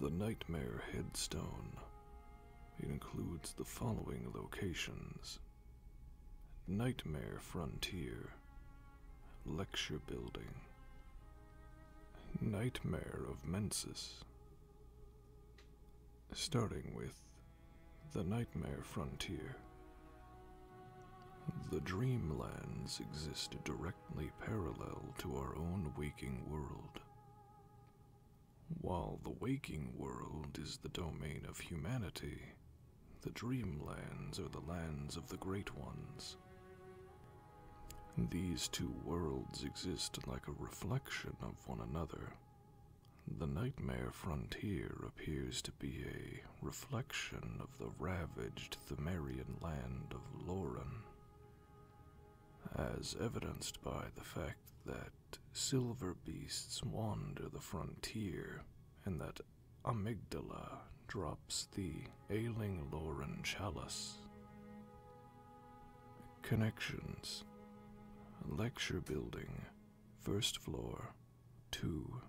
The Nightmare Headstone. It includes the following locations Nightmare Frontier, Lecture Building, Nightmare of Mensis. Starting with The Nightmare Frontier. The Dreamlands exist directly Lay parallel to our own waking world. While the waking world is the domain of humanity, the dreamlands are the lands of the Great Ones. These two worlds exist like a reflection of one another. The nightmare frontier appears to be a reflection of the ravaged Themerian land of Loren as evidenced by the fact that silver beasts wander the frontier and that amygdala drops the ailing Lauren chalice. Connections Lecture Building, first floor, 2,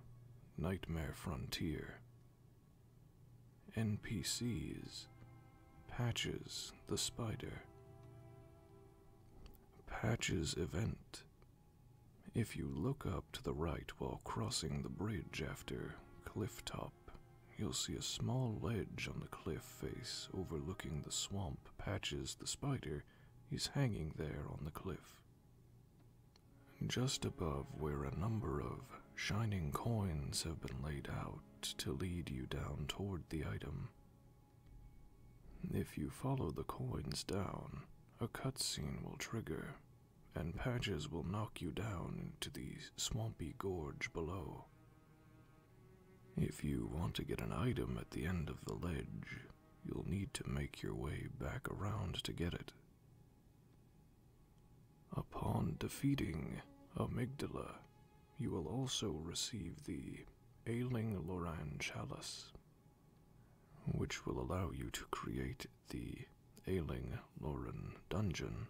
Nightmare Frontier, NPCs, Patches the Spider. Patches Event. If you look up to the right while crossing the bridge after Cliff Top, you'll see a small ledge on the cliff face overlooking the swamp. Patches the Spider is hanging there on the cliff. Just above where a number of shining coins have been laid out to lead you down toward the item. If you follow the coins down, a cutscene will trigger, and Patches will knock you down into the swampy gorge below. If you want to get an item at the end of the ledge, you'll need to make your way back around to get it. Upon defeating Amygdala, you will also receive the Ailing Loran Chalice, which will allow you to create the Ailing Loran Dungeon.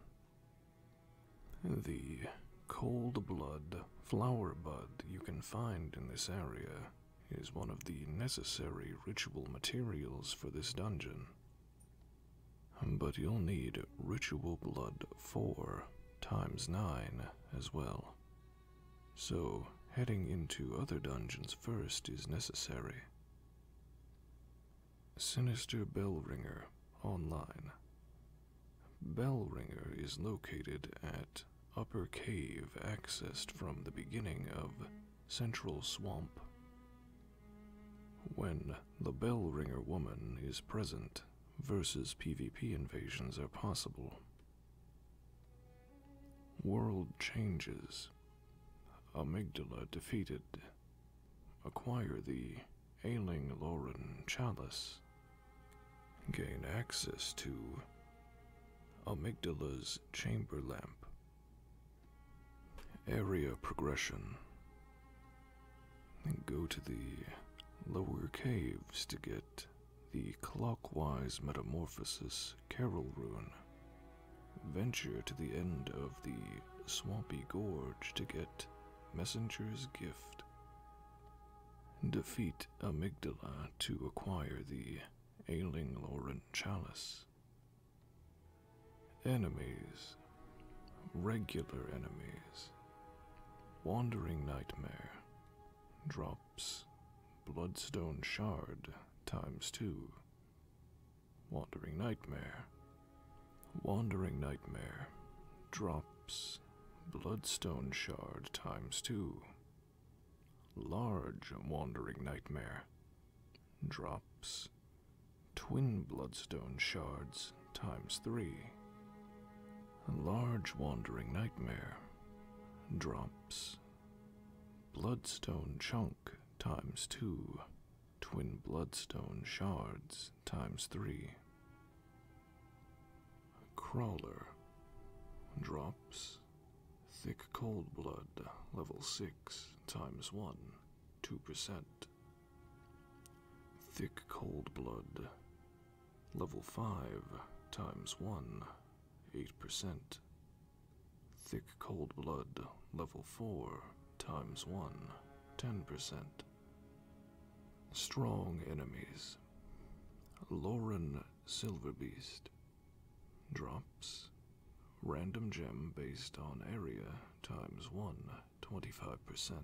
The cold blood flower bud you can find in this area is one of the necessary ritual materials for this dungeon. But you'll need Ritual Blood 4 times 9 as well. So, heading into other dungeons first is necessary. Sinister Bellringer Online. Bellringer is located at Upper Cave, accessed from the beginning of Central Swamp. When the Bellringer woman is present, versus PvP invasions are possible. World changes. Amygdala defeated. Acquire the ailing Lauren Chalice. Gain access to Amygdala's chamber lamp. Area progression and go to the lower caves to get the clockwise metamorphosis carol rune. Venture to the end of the swampy gorge to get messenger's gift. Defeat amygdala to acquire the ailing laurent chalice. Enemies regular enemies, wandering nightmare, drops, bloodstone shard times two, wandering nightmare, wandering nightmare, drops, bloodstone shard times two, large wandering nightmare, drops, twin bloodstone shards times three. A large wandering nightmare. Drops. Bloodstone chunk times two. Twin bloodstone shards times three. Crawler. Drops. Thick cold blood, level 6, times 1, 2%. Thick cold blood. Level 5 times 1, 8%. Thick cold blood, level 4 times 1, 10%. Strong enemies. Lauren Silverbeast. Drops. Random gem based on area times 1. 25%.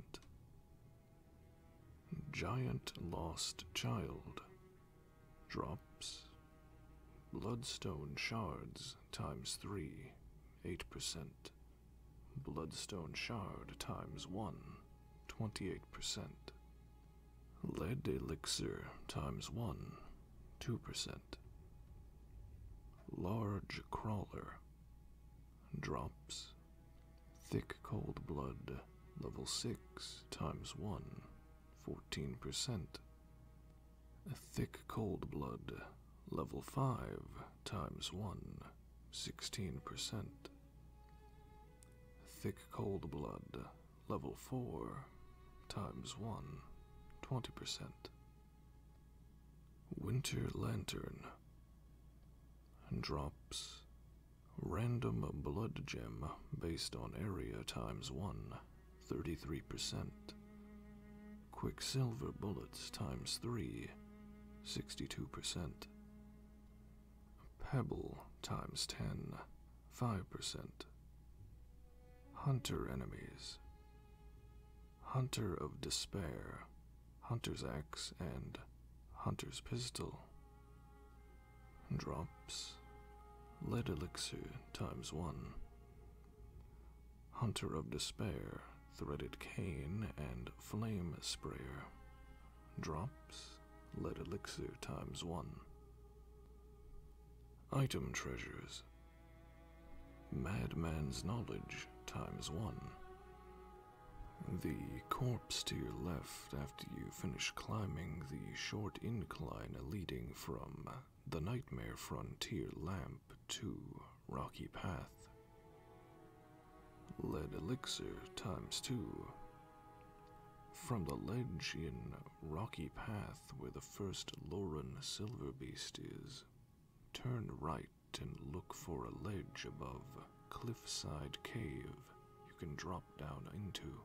Giant Lost Child Drops Bloodstone Shards times 3, 8%. Bloodstone Shard times 1, 28%. Lead Elixir times 1, 2%. Large Crawler Drops Thick cold blood, level 6 times 1, 14%. Thick cold blood, level 5 times 1, 16%. Thick cold blood, level 4 times 1, 20%. Winter Lantern and drops random blood gem based on area times 1, 33%. Quicksilver bullets times 3, 62%. Pebble times 10, 5%. Hunter enemies. Hunter of Despair hunter's axe, and hunter's pistol. Drops. Lead elixir times one. Hunter of despair, threaded cane, and flame sprayer. Drops. Lead elixir times one. Item treasures. Madman's knowledge times one. The corpse to your left after you finish climbing the short incline leading from the Nightmare Frontier Lamp to Rocky Path. Lead Elixir times two. From the ledge in Rocky Path where the first Lauren Silverbeast is, turn right and look for a ledge above cliffside cave you can drop down into.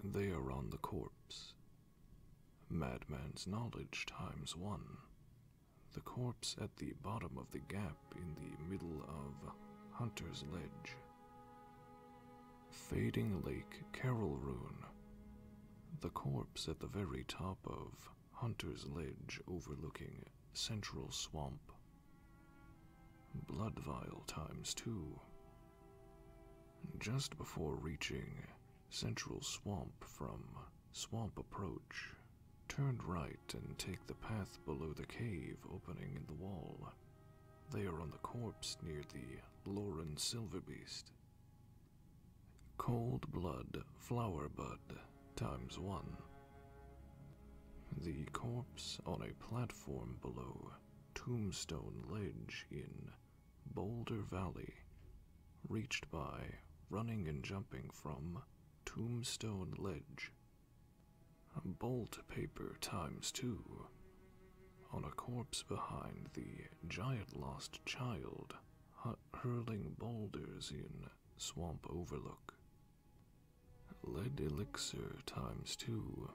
And they are on the corpse. Madman's knowledge times one. The corpse at the bottom of the gap in the middle of Hunter's Ledge. Fading Lake Carol Rune. The corpse at the very top of Hunter's Ledge overlooking Central Swamp. Blood vial times two. Just before reaching Central Swamp from Swamp Approach, turn right and take the path below the cave opening in the wall. They are on the corpse near the Lauren Silverbeast. Cold Blood Flower Bud times one. The corpse on a platform below Tombstone Ledge in Boulder Valley, reached by running and jumping from Tombstone Ledge. Bolt paper times two on a corpse behind the giant lost child hurling boulders in Swamp Overlook lead elixir times two.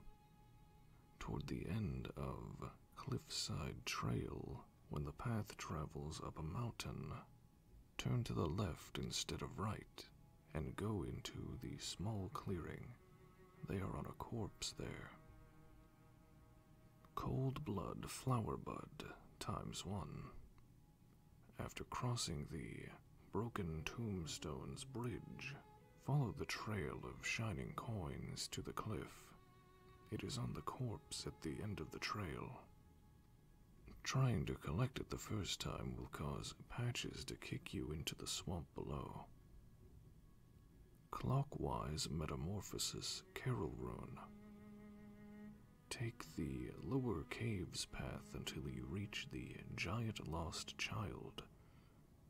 Toward the end of Cliffside Trail, when the path travels up a mountain, turn to the left instead of right and go into the small clearing. They are on a corpse there. Cold blood flower bud times one. After crossing the Broken Tombstones Bridge, follow the trail of shining coins to the cliff. It is on the corpse at the end of the trail. Trying to collect it the first time will cause patches to kick you into the swamp below. Clockwise Metamorphosis Carol Rune. Take the lower caves path until you reach the giant lost child.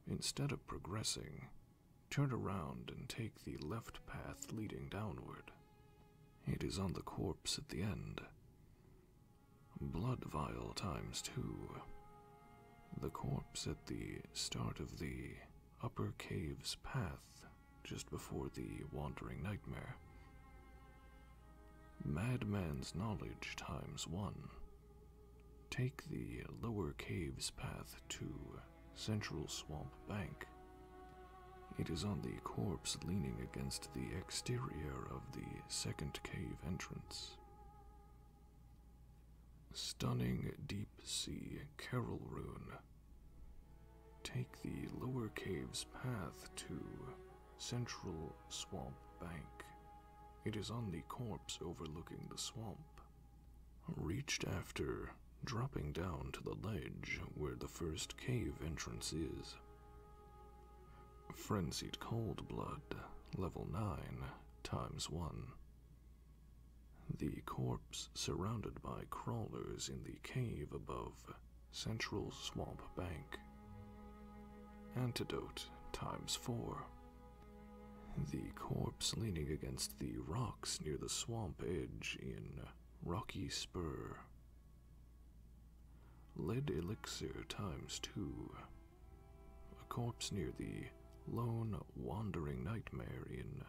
Instead of progressing, turn around and take the left path leading downward. It is on the corpse at the end. Blood vial times two. The corpse at the start of the upper cave's path, just before the wandering nightmare. Madman's knowledge times one. Take the lower cave's path to Central Swamp Bank. It is on the corpse leaning against the exterior of the second cave entrance. Stunning Deep Sea Carol Rune. Take the lower cave's path to Central Swamp Bank. It is on the corpse overlooking the swamp. Reached after, dropping down to the ledge where the first cave entrance is. Frenzied Cold Blood, level 9, times 1. The corpse surrounded by crawlers in the cave above Central Swamp Bank. Antidote times four. The corpse leaning against the rocks near the swamp edge in Rocky Spur. Lead elixir times two. A corpse near the lone wandering nightmare in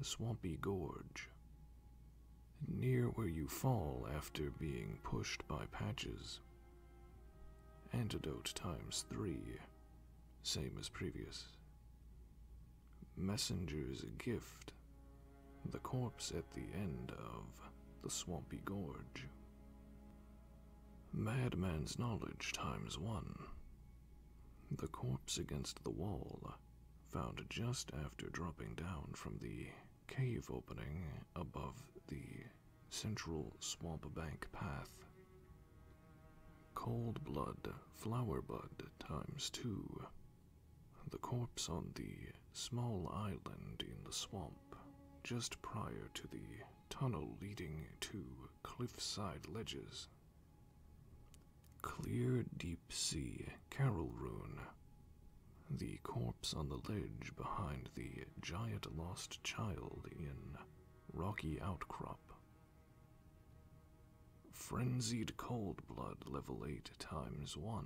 Swampy Gorge. Near where you fall after being pushed by patches, Antidote times three, same as previous. Messenger's gift, the corpse at the end of the swampy gorge. Madman's knowledge times one. The corpse against the wall, found just after dropping down from the cave opening above the Central Swamp Bank Path. Cold Blood Flowerbud times two. The corpse on the small island in the swamp, just prior to the tunnel leading to cliffside ledges. Clear Deep Sea Carol Rune the corpse on the ledge behind the giant lost child in Rocky Outcrop. Frenzied Cold Blood Level 8 times 1.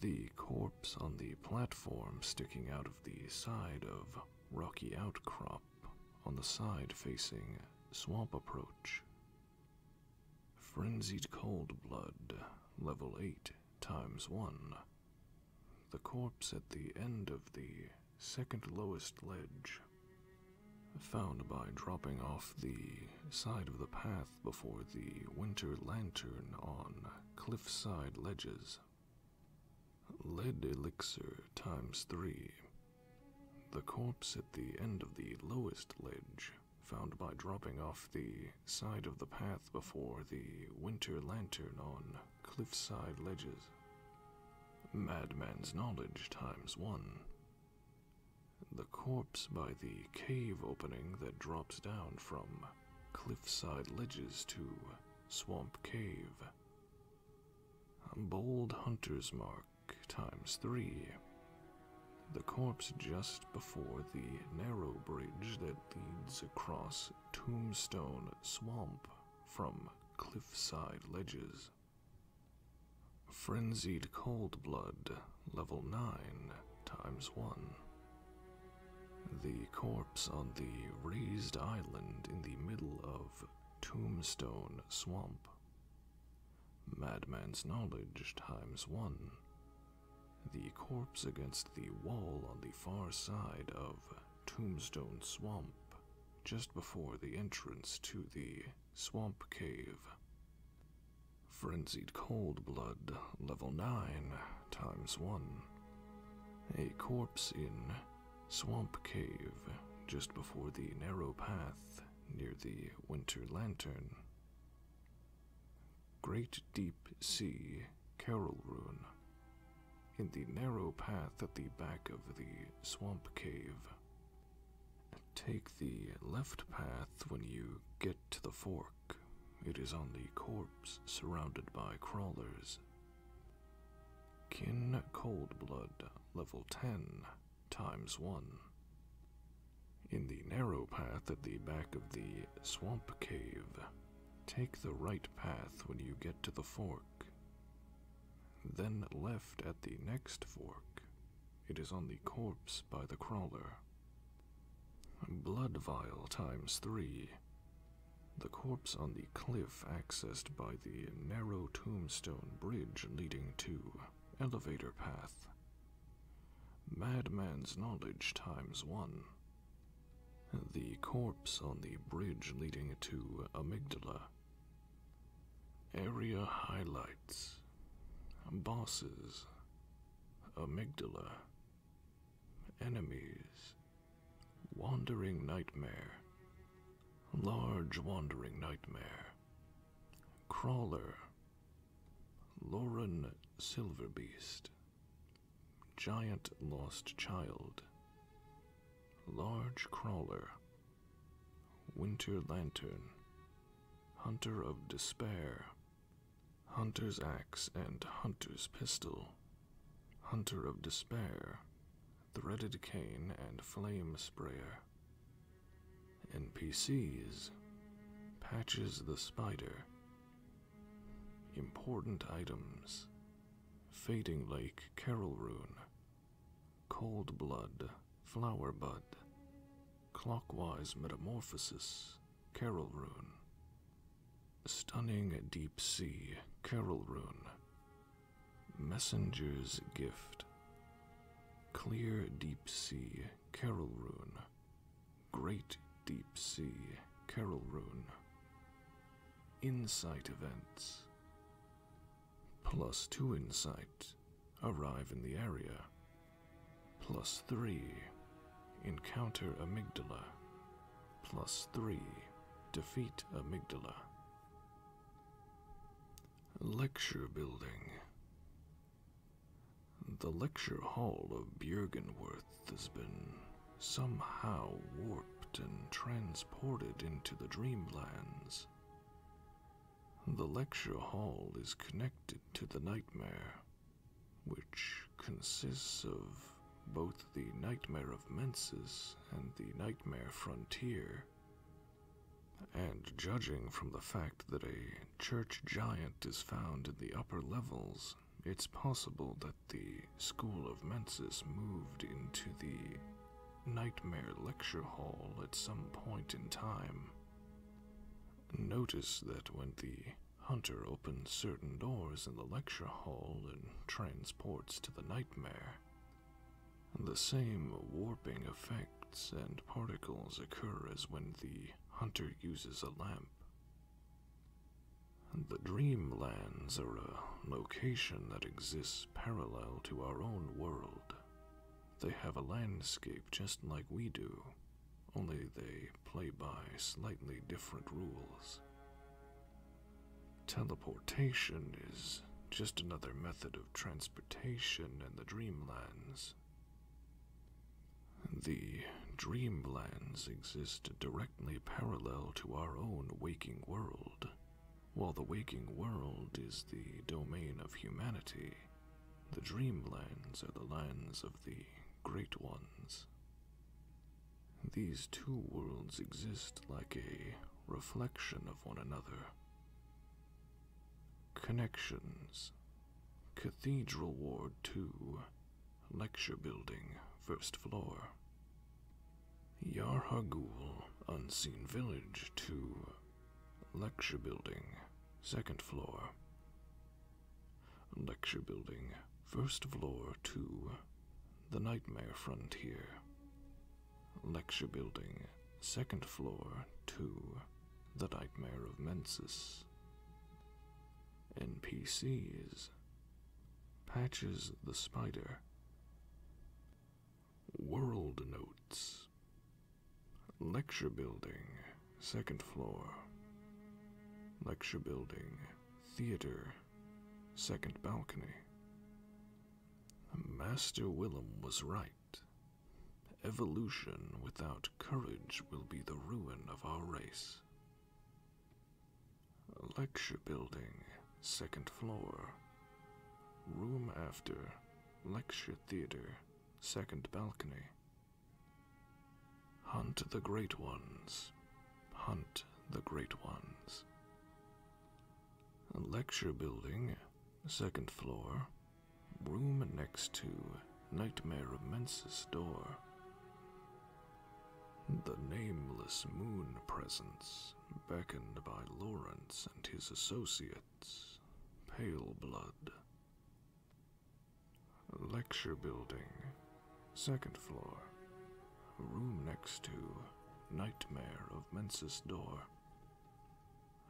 The corpse on the platform sticking out of the side of Rocky Outcrop on the side facing Swamp Approach. Frenzied Cold Blood Level 8 times 1 the corpse at the end of the second lowest ledge, found by dropping off the side of the path before the winter lantern on cliffside ledges. Lead elixir times three. The corpse at the end of the lowest ledge, found by dropping off the side of the path before the Winter Lantern on cliffside ledges. Madman's knowledge times one. The corpse by the cave opening that drops down from cliffside ledges to swamp cave. Bold hunter's mark times three. The corpse just before the narrow bridge that leads across tombstone swamp from cliffside ledges. Frenzied Cold Blood, level 9 times 1. The corpse on the raised island in the middle of Tombstone Swamp. Madman's Knowledge times 1. The corpse against the wall on the far side of Tombstone Swamp, just before the entrance to the swamp cave. Frenzied Cold Blood, level 9, times 1. A corpse in Swamp Cave, just before the narrow path near the Winter Lantern great deep sea carol rune in the narrow path at the back of the swamp cave. Take the left path when you get to the fork. It is on the corpse surrounded by crawlers. Kin Cold Blood, level 10, times 1. In the narrow path at the back of the swamp cave, Take the right path when you get to the fork, then left at the next fork. It is on the corpse by the crawler. Blood vial times three. The corpse on the cliff accessed by the narrow tombstone bridge leading to elevator path. Madman's knowledge times one. The corpse on the bridge leading to Amygdala. Area highlights Bosses, Amygdala, Enemies, Wandering Nightmare, Large Wandering Nightmare, Crawler, Lauren Silverbeast. Giant Lost Child, Large Crawler, Winter Lantern, Hunter of Despair, Hunter's Axe and Hunter's Pistol, Hunter of Despair, Threaded Cane and Flame Sprayer. NPCs Patches the Spider, Important items Fading like Carol Rune, Cold Blood Flower Bud, Clockwise Metamorphosis Carol Rune, Stunning Deep Sea Carol Rune, Messenger's Gift, Clear Deep Sea Carol Rune, Great Deep Sea Carol Rune, insight events. Plus 2 insight, arrive in the area. Plus 3, encounter amygdala. Plus 3, defeat amygdala. Lecture Building The lecture hall of Björgenworth has been somehow warped and transported into the dreamlands. The lecture hall is connected to the nightmare, which consists of both the Nightmare of Menses and the Nightmare Frontier. And judging from the fact that a church giant is found in the upper levels it's possible that the School of Mensis moved into the Nightmare Lecture Hall at some point in time. Notice that when the Hunter opens certain doors in the lecture hall and transports to the nightmare, the same warping effects and particles occur as when the Hunter uses a lamp. The Dreamlands are a location that exists parallel to our own world. They have a landscape just like we do, only they play by slightly different rules. Teleportation is just another method of transportation in the Dreamlands. The Dreamlands exist directly parallel to our own waking world. While the waking world is the domain of humanity, the dreamlands are the lands of the Great Ones. These two worlds exist like a reflection of one another. Connections Cathedral Ward 2 Lecture Building, first floor. Yarhagul, Unseen Village 2. Lecture Building, second floor. Lecture Building, first floor 2. The Nightmare Frontier. Lecture Building, second floor 2. The Nightmare of Mensis. NPCs Patches the Spider, World Notes, Lecture Building, second floor, Lecture Building, Theater, second balcony. Master Willem was right. Evolution without courage will be the ruin of our race. Lecture building, second floor. Room after, lecture theater, second balcony. Hunt the great ones. Hunt the great ones. Lecture building, second floor. Room next to Nightmare of Mensa's door. The nameless moon presence, beckoned by Lawrence and his associates, Pale Blood. Lecture building, second floor. Room next to Nightmare of Mensis Door.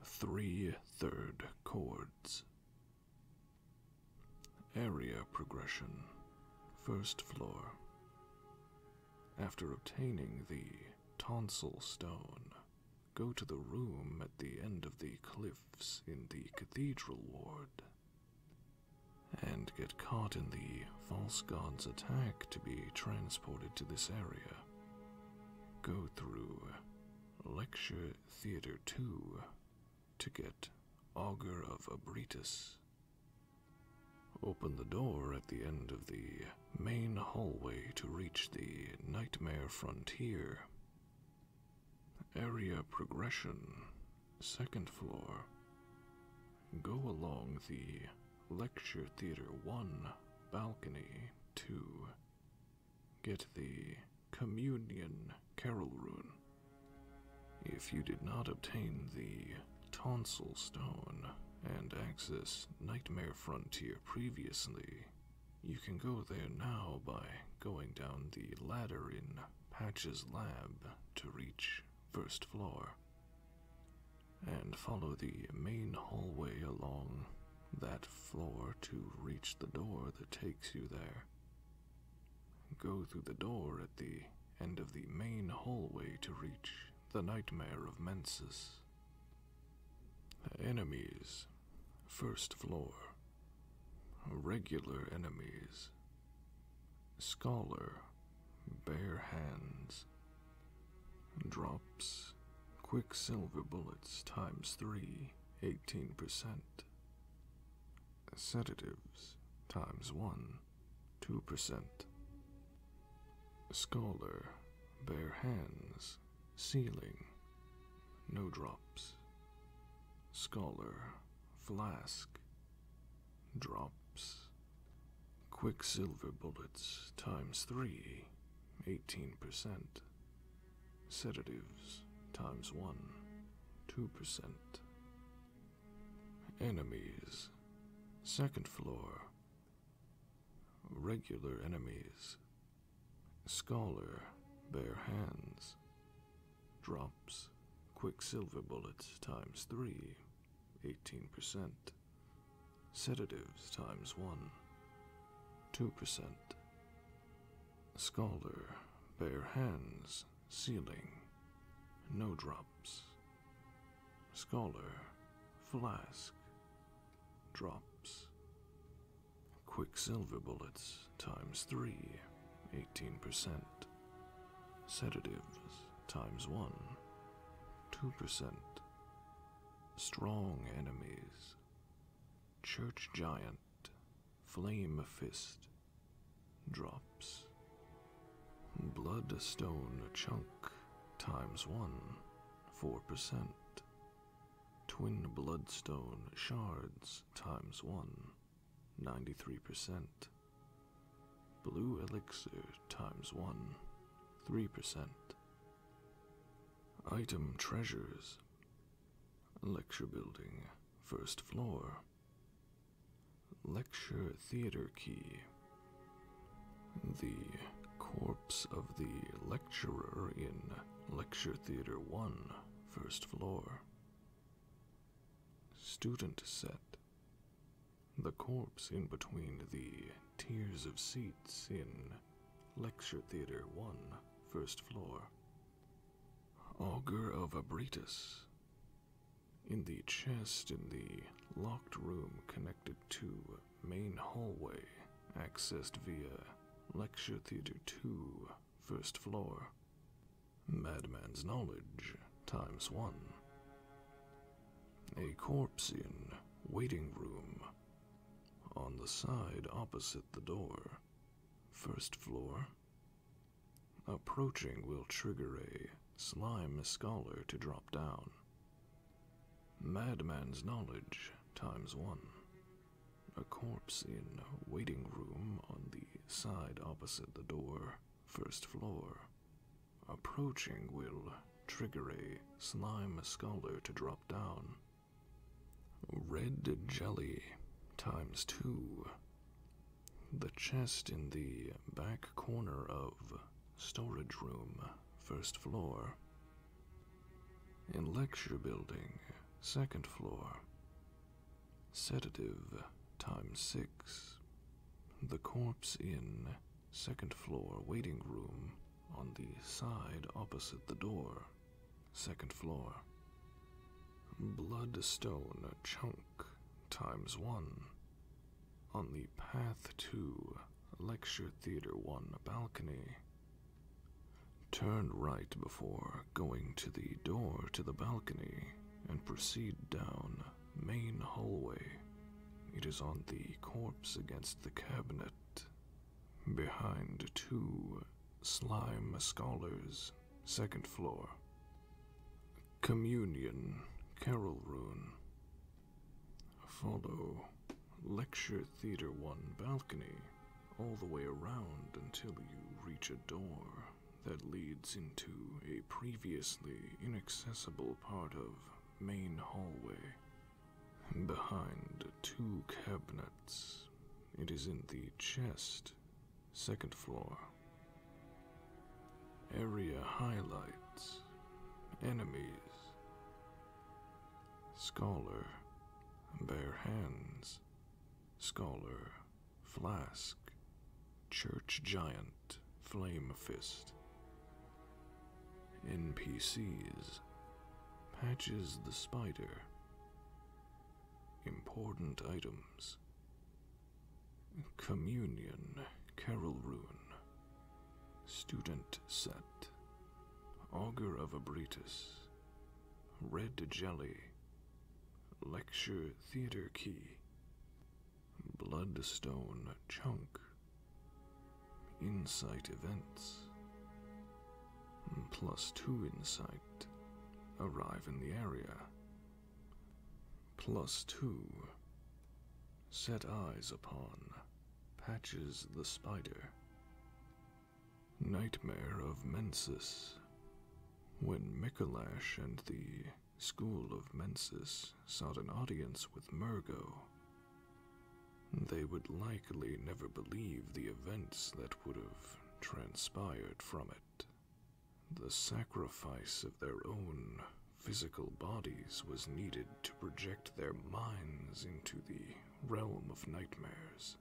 Three third chords. Area progression, first floor. After obtaining the tonsil stone, go to the room at the end of the cliffs in the cathedral ward and get caught in the false god's attack to be transported to this area. Go through Lecture Theater 2 to get Augur of Abritus Open the door at the end of the main hallway to reach the Nightmare Frontier. Area Progression, second floor. Go along the Lecture Theater 1, Balcony 2. Get the Communion Carol Rune. If you did not obtain the Tonsil Stone, and access Nightmare Frontier previously. You can go there now by going down the ladder in Patch's lab to reach first floor. And follow the main hallway along that floor to reach the door that takes you there. Go through the door at the end of the main hallway to reach the nightmare of Mensis. Enemies, first floor. Regular enemies. Scholar, bare hands. Drops, quicksilver bullets times three, 18%. Sedatives times one. 2%. Scholar, bare hands, ceiling, no drops. Scholar, flask, drops. Quicksilver bullets times 3, 18%. Sedatives times 1, 2%. Enemies, second floor, Regular enemies. Scholar, bare hands. Drops, quicksilver bullets times three, 18%. Sedatives times one, 2%. Scholar, bare hands, ceiling, no drops, Scholar, flask, drops. Quicksilver bullets times 3, 18%. Sedatives times 1, 2%. Strong enemies. Church giant, flame fist, drops, Blood stone chunk times one, 4%. Twin bloodstone shards times one, 93%. Blue elixir times one, 3%. Item treasures. Lecture building, first floor. Lecture theater key, the corpse of the lecturer in Lecture Theatre One, first floor. Student set. The corpse in between the tiers of seats in Lecture Theatre One, first floor. Augur of Abritus. In the chest in the locked room connected to main hallway, accessed via Lecture Theater 2, first floor. Madman's knowledge times one. A corpse in waiting room. On the side opposite the door. First floor. Approaching will trigger a slime scholar to drop down. Madman's knowledge times one. A corpse in waiting room on the side opposite the door, first floor. Approaching will trigger a slime scholar to drop down. Red jelly times two. The chest in the back corner of storage room first floor. In lecture building, second floor. Sedative, time six. The corpse in second floor waiting room on the side opposite the door, second floor. Bloodstone chunk times one on the path to Lecture Theatre 1 balcony, turn right before going to the door to the balcony and proceed down main hallway. It is on the corpse against the cabinet, behind two slime scholars, second floor. Communion, Carol Rune. Follow Lecture Theatre 1 balcony all the way around until you reach a door that leads into a previously inaccessible part of main hallway. Behind two cabinets, it is in the chest, second floor. Area highlights enemies. Scholar, bare hands. Scholar, flask. Church giant, flame fist. NPCs, patches the spider. Important items. Communion, Carol Rune, Student Set, Augur of Abritus, Red Jelly, Lecture Theater Key, Bloodstone Chunk, Insight Events, plus two insight, arrive in the area, plus two, set eyes upon Patches the Spider. Nightmare of Mensis. When Mikolash and the School of Mensis sought an audience with Murgo, they would likely never believe the events that would have transpired from it. The sacrifice of their own physical bodies was needed to project their minds into the realm of nightmares.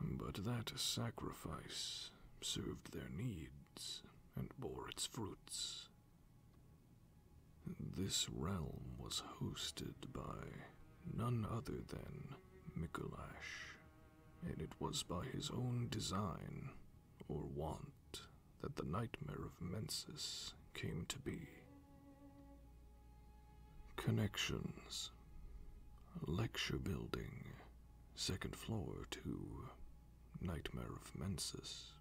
But that sacrifice served their needs and bore its fruits. This realm was hosted by none other than Mikolash, and it was by his own design or want that the nightmare of Mensis came to be. Connections Lecture building, second floor to Nightmare of Mensis.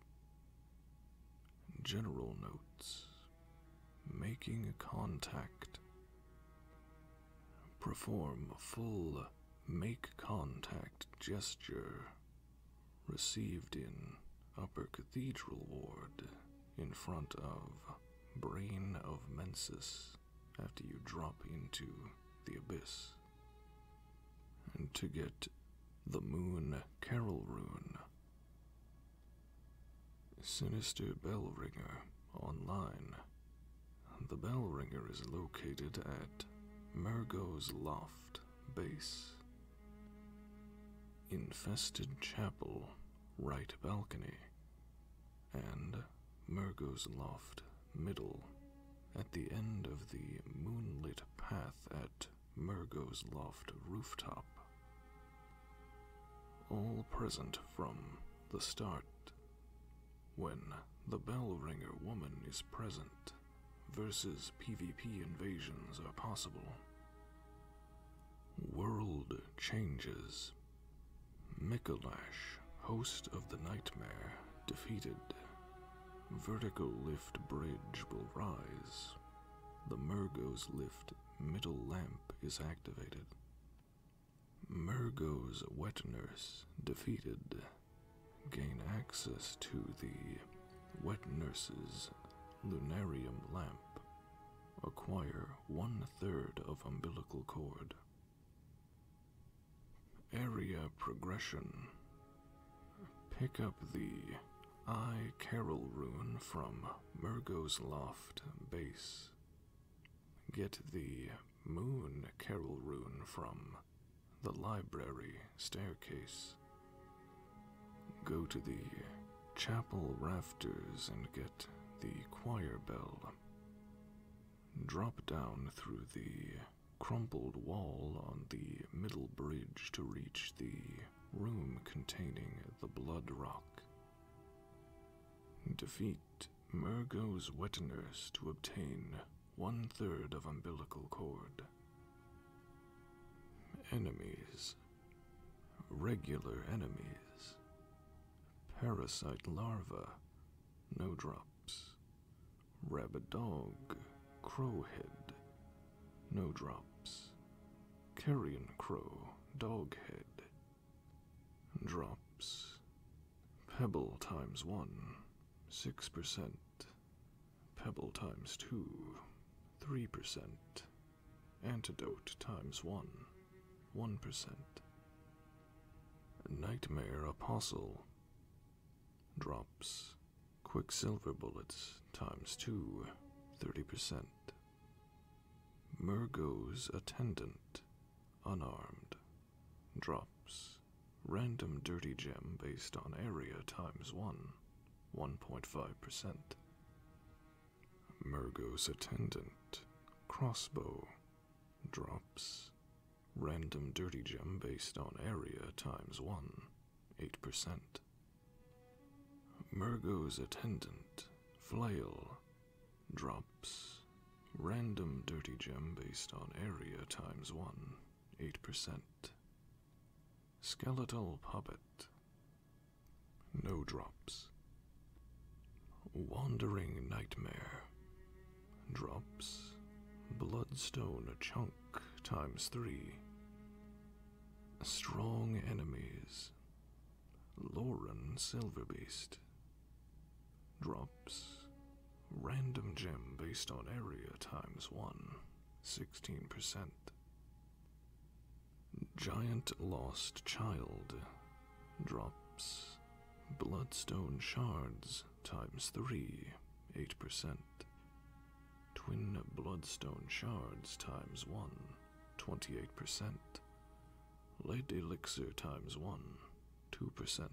General notes Making contact. Perform a full make contact gesture received in Upper Cathedral Ward in front of Brain of Mensis after you drop into the abyss. And to get the Moon Carol Rune. Sinister Bell Ringer online. The bell ringer is located at Mergo's Loft Base Infested chapel, right balcony, and Mergo's loft, middle, at the end of the moonlit path at Mergo's loft rooftop. All present from the start. When the bell ringer woman is present, versus PvP invasions are possible. World changes. Mikalash, host of the Nightmare, defeated. Vertical lift bridge will rise. The Mergo's lift middle lamp is activated. Mergo's wet nurse defeated. Gain access to the Wet Nurse's Lunarium lamp acquire one third of umbilical cord. Area progression. Pick up the I Carol rune from Murgo's Loft base. Get the Moon Carol rune from the library staircase. Go to the chapel rafters and get the choir bell. Drop down through the crumpled wall on the middle bridge to reach the room containing the blood rock. Defeat Mergo's wet nurse to obtain one third of umbilical cord. Enemies Regular enemies. Parasite larva. No drops. Rabbit dog. Crowhead. No drops. Carrion crow. Doghead. Drops. Pebble times one. 6%. Pebble times two. 3%. Antidote times one, 1%. Nightmare Apostle. Drops. Quicksilver bullets times two, 30%. Murgo's attendant. Unarmed. Drops. Random dirty gem based on area times one, 1.5%. Murgo's attendant, crossbow, drops, random dirty gem based on area times 1, 8%. Murgo's attendant, flail, drops, random dirty gem based on area times 1, 8%. Skeletal puppet, no drops. Wandering Nightmare. Drops. Bloodstone a chunk times three. Strong enemies. Lauren Silverbeast. Drops. Random gem based on area times one. 16%. Giant lost child. Drops. Bloodstone shards times 3, 8%. Twin bloodstone shards times one, twenty-eight percent Light elixir times 1, 2%.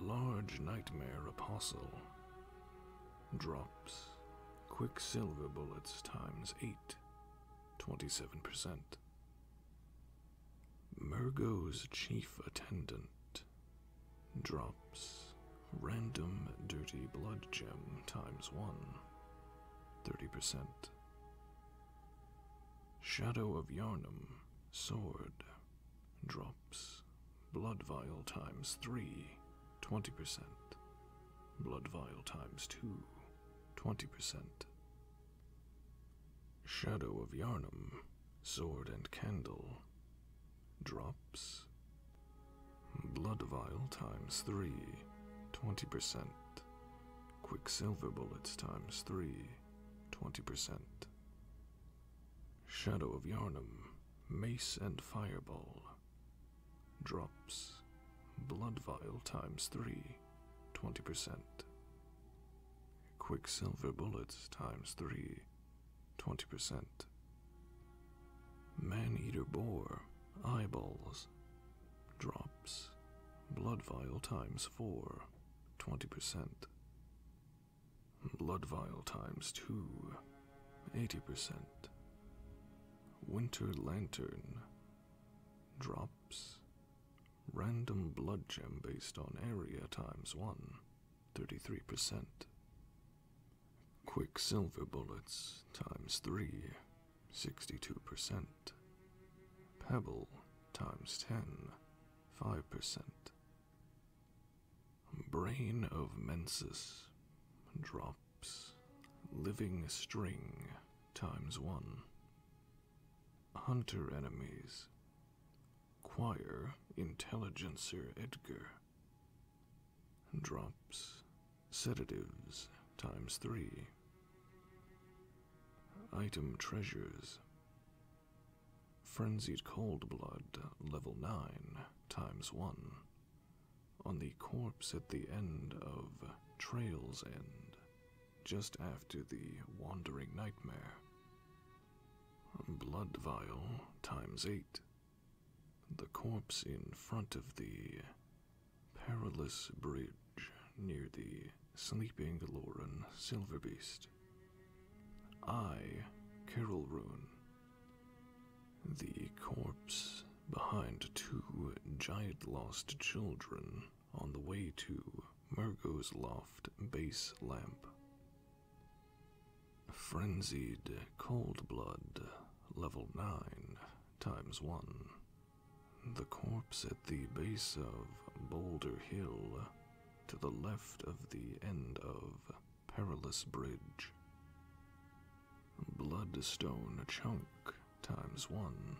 Large nightmare apostle drops. Quicksilver bullets times 8, 27%. Mergo's chief attendant drops random dirty blood gem times 1, 30%. Shadow of Yarnum sword drops blood vial times 3, 20%. Blood vial times 2, 20%. Shadow of Yarnum, Sword and Candle, drops. Blood vial times 3, 20%. Quicksilver bullets times 3, 20%. Shadow of Yarnum, Mace and Fireball, Drops. Blood vial times three, twenty percent Quicksilver bullets times three, twenty percent Man eater boar, eyeballs. Drops. Blood vial times four, twenty percent Blood vial times 2, 80%. Winter Lantern drops. Random blood gem based on area times 1, 33%. Quicksilver bullets times 3, 62%. Pebble times 10, 5%. Brain of Mensis drop living string times one. Hunter enemies, choir intelligencer Edgar. Drops, sedatives times three. Item treasures. Frenzied Cold Blood, level 9, times 1 on the corpse at the end of Trail's End, just after the Wandering Nightmare. Blood vial times eight. The corpse in front of the perilous bridge near the sleeping Lauren Silverbeast. I, Carol Roon, the corpse behind two giant lost children on the way to Murgo's Loft base lamp. Frenzied Cold Blood, level 9, times 1. The corpse at the base of Boulder Hill, to the left of the end of Perilous Bridge. Bloodstone chunk times one.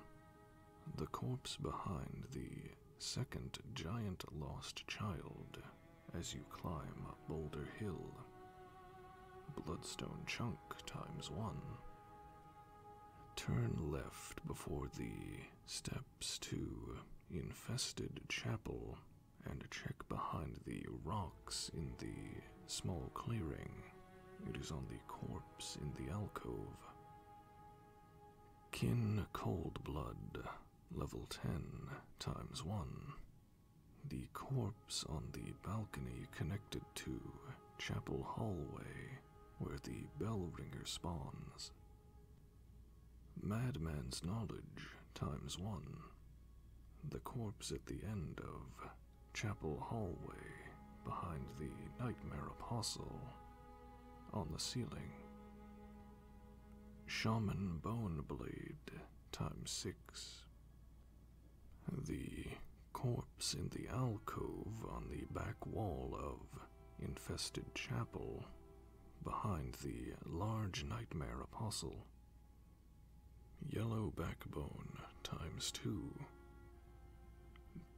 The corpse behind the second giant lost child as you climb up Boulder Hill. Bloodstone chunk times one. Turn left before the steps to infested chapel and check behind the rocks in the small clearing it is on the corpse in the alcove. Kin Cold Blood, level 10, times 1. The corpse on the balcony connected to Chapel Hallway, where the bell ringer spawns. Madman's Knowledge, times 1. The corpse at the end of chapel hallway behind the Nightmare Apostle on the ceiling. Shaman Bone Blade times six. The corpse in the alcove on the back wall of Infested Chapel behind the large Nightmare Apostle. Yellow backbone times two.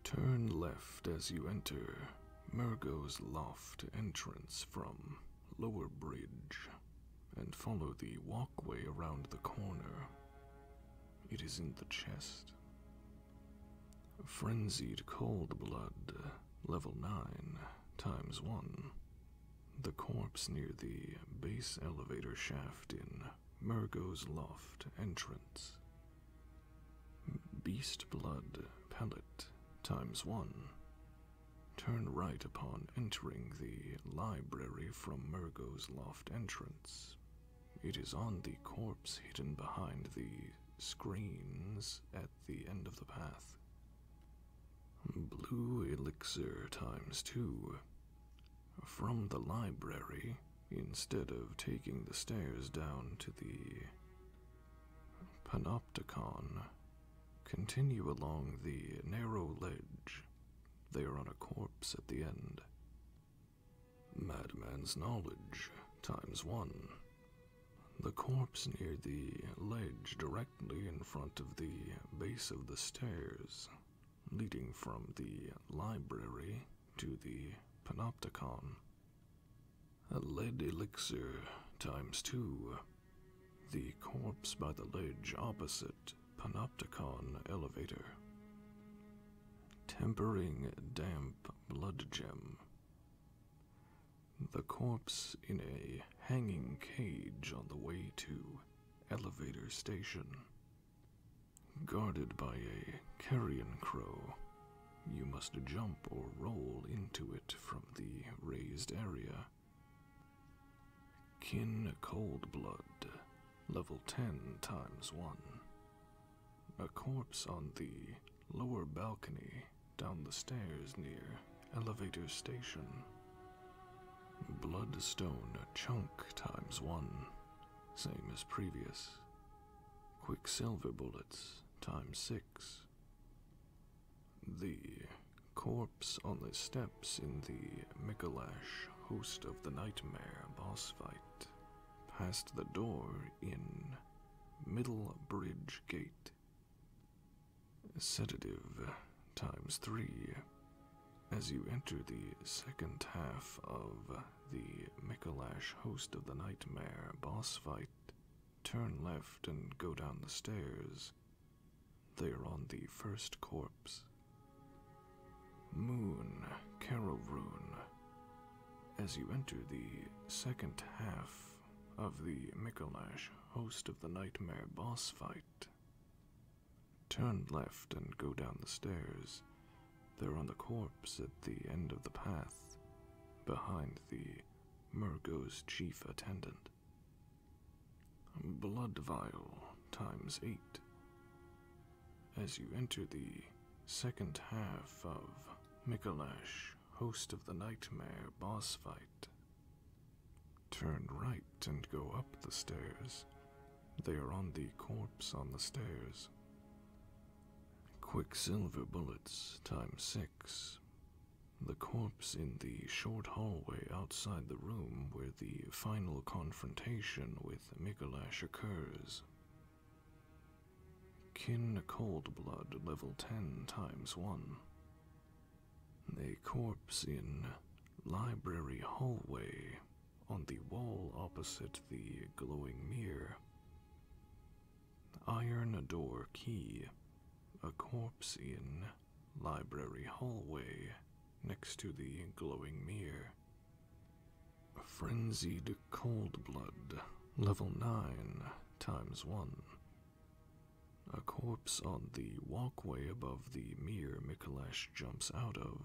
Turn left as you enter Murgo's loft entrance from Lower Bridge and follow the walkway around the corner. It is in the chest. Frenzied cold blood, level 9, times 1. The corpse near the base elevator shaft in Murgo's loft entrance. Beast blood pellet times one. Turn right upon entering the library from Murgo's loft entrance. It is on the corpse hidden behind the screens at the end of the path. Blue elixir times two. From the library, instead of taking the stairs down to the Panopticon, continue along the narrow ledge. They are on a corpse at the end. Madman's knowledge, times one. The corpse near the ledge directly in front of the base of the stairs leading from the library to the panopticon. A lead elixir times two. The corpse by the ledge opposite panopticon elevator. Tempering damp blood gem. The corpse in a hanging cage on the way to elevator station guarded by a carrion crow. You must jump or roll into it from the raised area. Kin Cold Blood, level 10 times 1. A corpse on the lower balcony down the stairs near elevator station. Bloodstone Chunk times 1 same as previous. Quicksilver bullets, times six. The corpse on the steps in the Mikalash host of the nightmare boss fight past the door in Middle Bridge Gate. Sedative times three as you enter the second half of the Mikolash host of the nightmare boss fight, turn left and go down the stairs. They are on the first corpse. Moon, Carol As you enter the second half of the Mikolash host of the nightmare boss fight, Turn left and go down the stairs. There, on the corpse at the end of the path, behind the Murgo's chief attendant. Blood vial times eight. As you enter the second half of Mikolash, host of the nightmare boss fight, turn right and go up the stairs they are on the corpse on the stairs. Quicksilver bullets time six. The corpse in the short hallway outside the room where the final confrontation with Mikelash occurs. Kin Cold Blood level 10 times 1. The corpse in Library Hallway on the wall opposite the glowing mirror. Iron door key, a corpse in library hallway next to the glowing mirror. Frenzied cold blood, level 9 times 1. A corpse on the walkway above the mirror Mikolash jumps out of.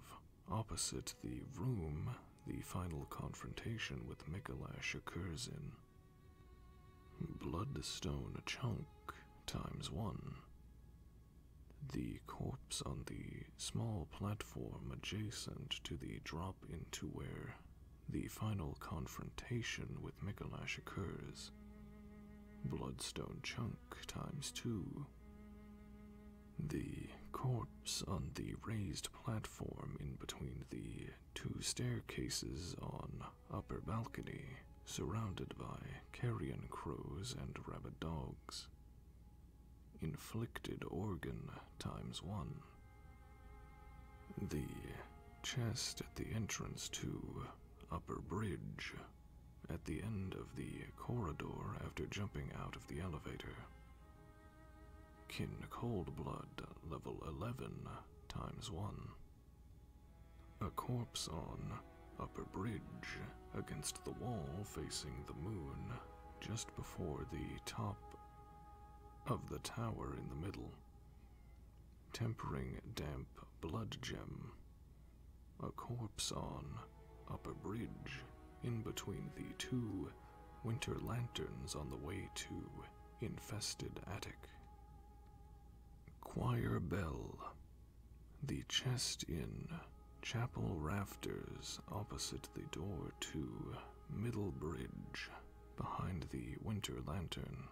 Opposite the room, the final confrontation with Mikolash occurs in. Bloodstone chunk times one. The corpse on the small platform adjacent to the drop into where the final confrontation with Mikolash occurs. Bloodstone chunk times two. The corpse on the raised platform in between the two staircases on upper balcony, surrounded by carrion crows and rabid dogs. Inflicted organ times one. The chest at the entrance to Upper Bridge, at the end of the corridor after jumping out of the elevator. Kin cold blood, level 11, times 1. A corpse on upper bridge against the wall facing the moon, just before the top of the tower in the middle. Tempering damp blood gem. A corpse on up a bridge in between the two winter lanterns on the way to infested attic. Choir Bell, the chest in chapel rafters opposite the door to Middle Bridge behind the winter lantern.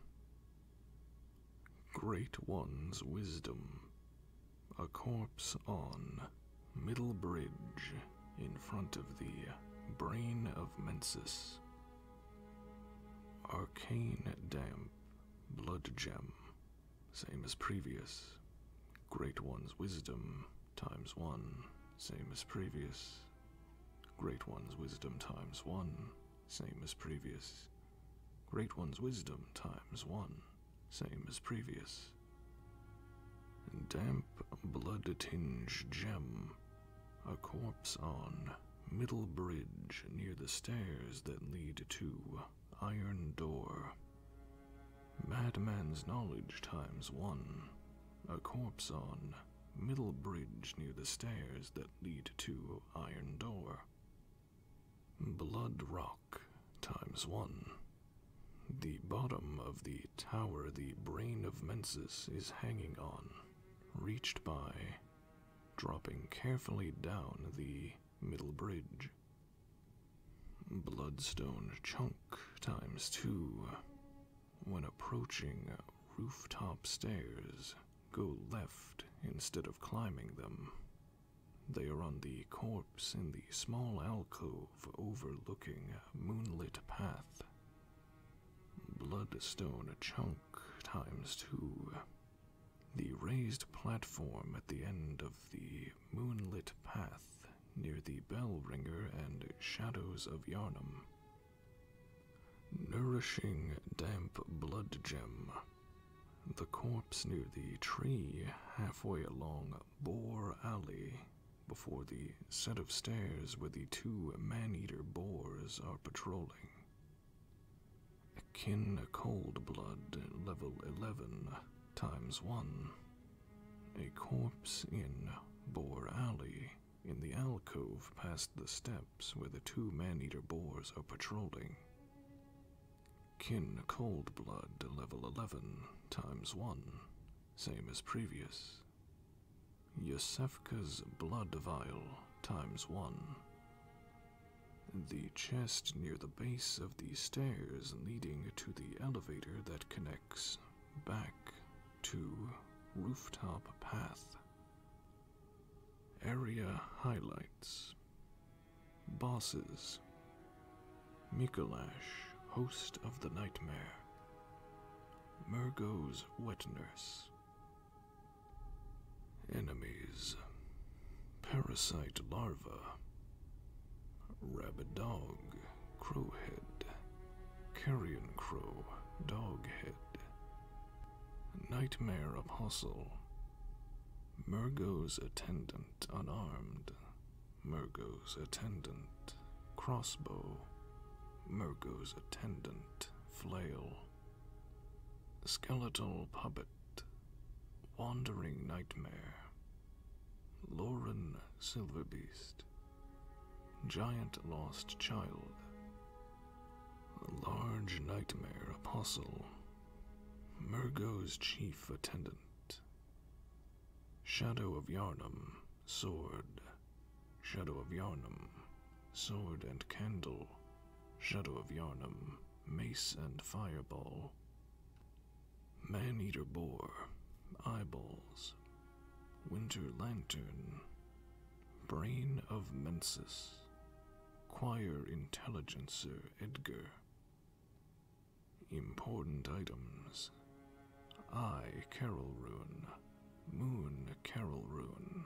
Great One's Wisdom, a corpse on middle bridge in front of the brain of Mensis. Arcane damp, blood gem, same as previous. Great One's wisdom times one, same as previous. Great One's wisdom times one, same as previous. Great One's wisdom times one, same as previous. Damp blood tinge gem, a corpse on middle bridge near the stairs that lead to iron door. Madman's knowledge times one, a corpse on middle bridge near the stairs that lead to iron door. Blood rock times one, the bottom of the tower the brain of Mensis is hanging on, reached by dropping carefully down the middle bridge. Bloodstone chunk times two. When approaching rooftop stairs, go left instead of climbing them. They are on the core in the small alcove overlooking a moonlit path. Bloodstone chunk times two. The raised platform at the end of the moonlit path near the bell ringer and shadows of Yarnum. Nourishing damp blood gem. The corpse near the tree halfway along Boar Alley before the set of stairs where the two man-eater boars are patrolling. Kin, cold blood level 11 times 1. A corpse in Boar Alley, in the alcove past the steps where the two man-eater boars are patrolling. Kin Cold Blood level 11 times 1 same as previous. Yosefka's blood vial times one. The chest near the base of the stairs leading to the elevator that connects back to rooftop path. Area highlights. Bosses. Mikolash, host of the nightmare. Murgo's wet nurse. Enemies. Parasite larva. Rabid dog, crowhead. Carrion crow, doghead. Nightmare apostle. Murgo's attendant unarmed. Murgo's attendant, crossbow. Murgo's attendant, flail. Skeletal puppet, wandering nightmare. Lauren Silverbeast, giant lost child. Large nightmare apostle, Murgo's chief attendant, Shadow of Yarnum, sword. Shadow of Yarnum, sword and candle. Shadow of Yarnum, mace and fireball. Man eater boar, eyeballs. Winter lantern, brain of Mensis. Choir intelligencer Edgar. Important items I, Carol Rune, Moon Carol Rune,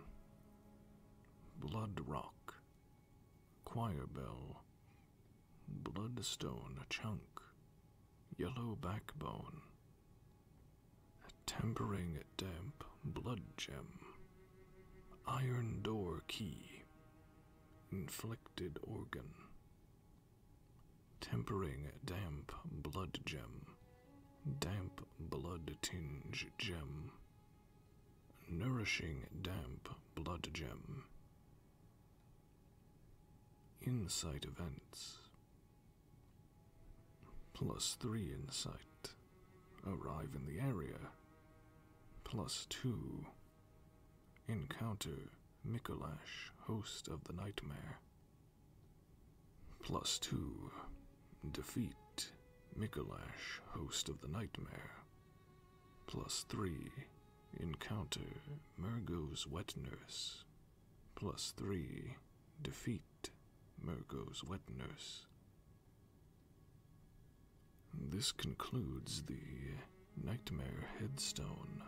Blood Rock, Choir Bell, Bloodstone Chunk, Yellow Backbone, Tempering Damp Blood Gem, Iron Door Key, Inflicted Organ, Tempering damp blood gem, damp blood tinge gem, nourishing damp blood gem. Insight events. Plus three insight. Arrive in the area. Plus two. Encounter Mikolash, host of the nightmare. Plus two. Defeat Mikolash, host of the nightmare. Plus three. Encounter Murgo's wet nurse. Plus three. Defeat Murgo's wet nurse. This concludes the Nightmare Headstone.